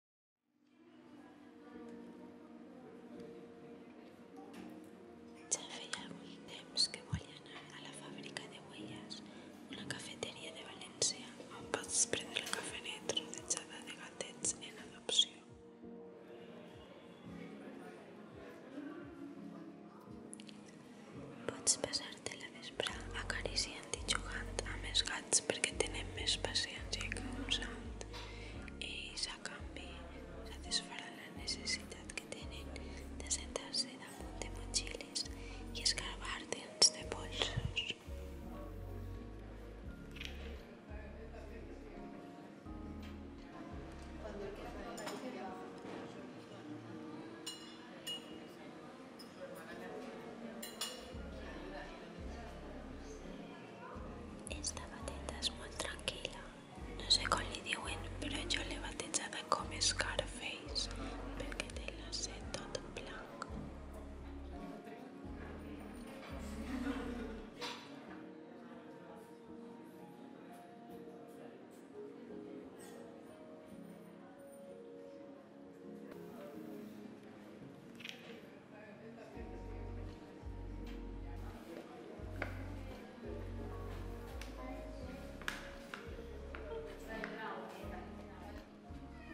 Ja feia que volia a la fàbrica de Huellas, una cafeteria de València on pots prendre el cafelet rodejada de gatets en adopció. Pots passar-te la vespre a acariciant sentit jugant a més gats perquè tenen més paciència que un sant ells a canvi satisfaran la necessitat que tenen de sentar-se damunt de motxilles i escarbar dins de polsos. Esta bateta és molt tranquil·la. No sé com li diuen, però jo l'he batejada com Scarface perquè té l'ocet tot blanc.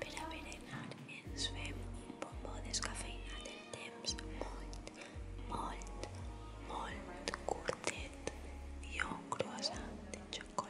Per a berenar ens fem un bombó descafeïnat en temps molt, molt, molt curtet i un croissant de xocolata.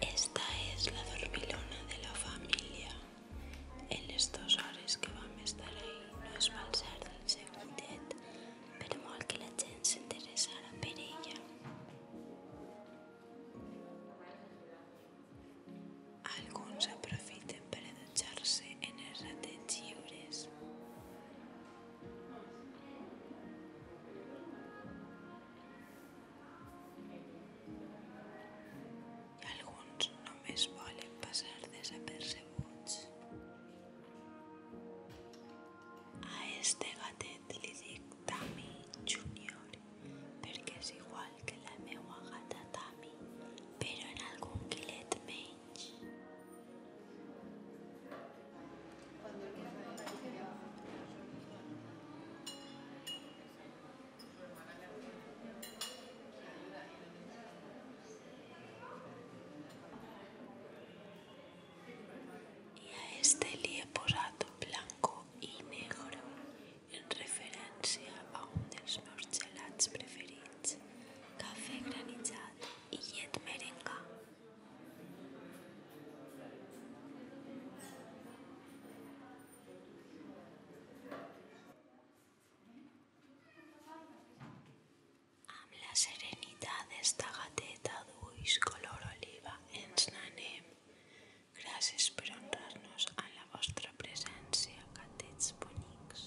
Esta es la dormilona de la familia. En les dues hores que vam estar ahí no es va alçar del seu llit, per molt que la gent s'interessara per ella. Alguns aprofiten per allotjar-se en els ratets lliures. I alguns només volen passar desapercebuts. A este gatet li dic Tami Junior perquè és igual que la meua gata Tami, però en algun quilet menys. Y a este le blanco y negro en referencia a un de los café preferidos, café granizado y llet merenga. Amb la serenitat d'esta gateta d'ulls color oliva ens n'anem. Gràcies per honrar-nos amb la vostra presència, gatets bonics.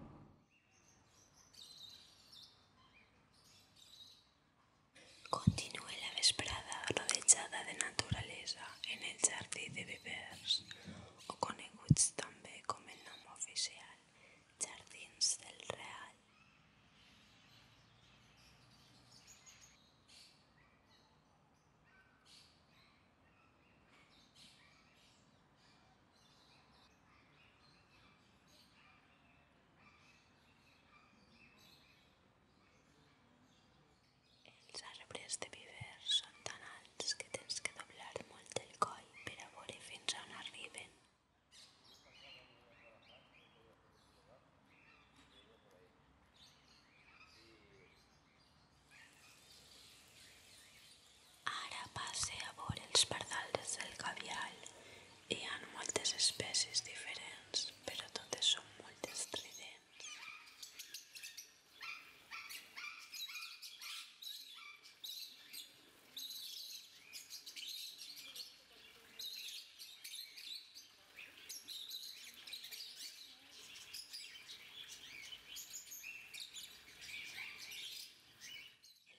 Continúe la vesprada rodejada de naturaleza en el jardín de vivers o el también como el nombre oficial, Jardines del Real. Els arbres de viver són tan alts que tens que doblar molt el coll per a veure fins a on arriben. Ara passe a veure els pardals del gavial. Hi ha moltes espècies diferents, però totes són molt estridents.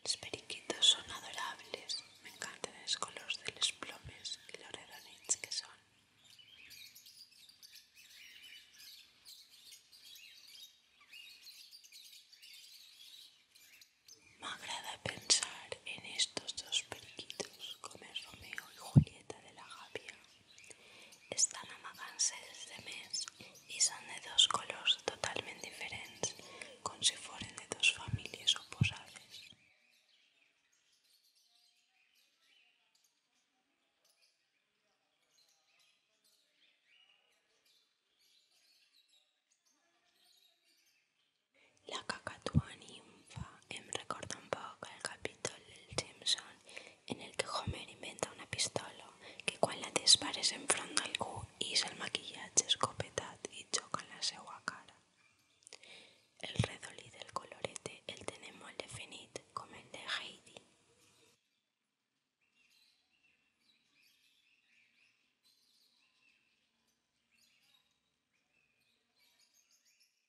Los periquitos son adorables, me encantan los colores de los plomes y los que que me agrada pensar en estos dos periquitos como es Romeo y Julieta de la Gavia Estan amagant-se dels demés i són de dos colors totalment diferents, com si foren de dues famílies oposades. La cacatua nimfa em recorda un poc el capítol del Simpson en el que Homer inventa una pistola que quan la dispares enfront d'algú ix el maquillatge escopetat i xoca en la seva cara. El redolí del colorete el tenen molt definit com el de Heidi.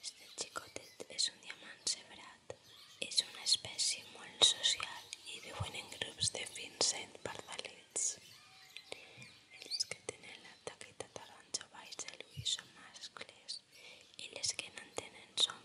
Este xicotet és un diamant cebrat. És una espècie molt social i viuen en grups de fins 100 pardalets. Els que tenen la taqueta taronja baix de l'ull són mascles Y los que no tienen son són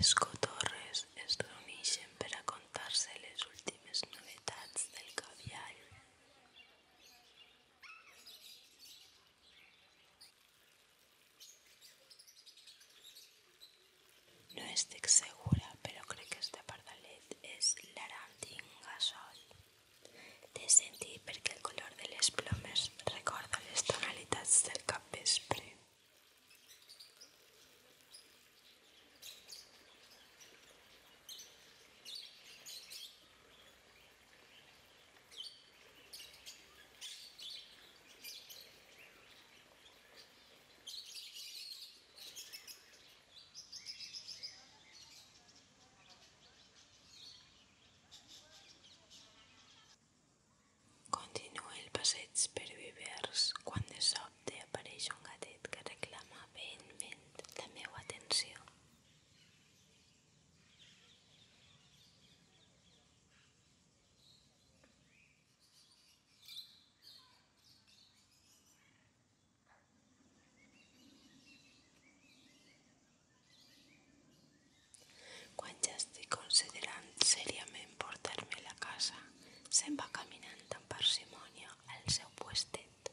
Les cotorres es reuneixen per a contar-se les últimes novetats del gavial. No estoy segura, pero creo que este pardalet és l'arantingasol. Te sentí porque el color de las plomes recuerda las tonalitas del capvespre. Continua el passeig per vivers quan de sobte apareix un gatet que reclama vehementment la meva atenció. Quan ja estic considerant seriament portar-me a la casa, se'n va caminant amb parsimònia al seu puestet.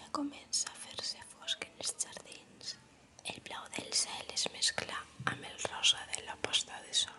Ja comença a fer-se fosc en els jardins. El blau del cel es mescla amb el rosa de la posta de sol.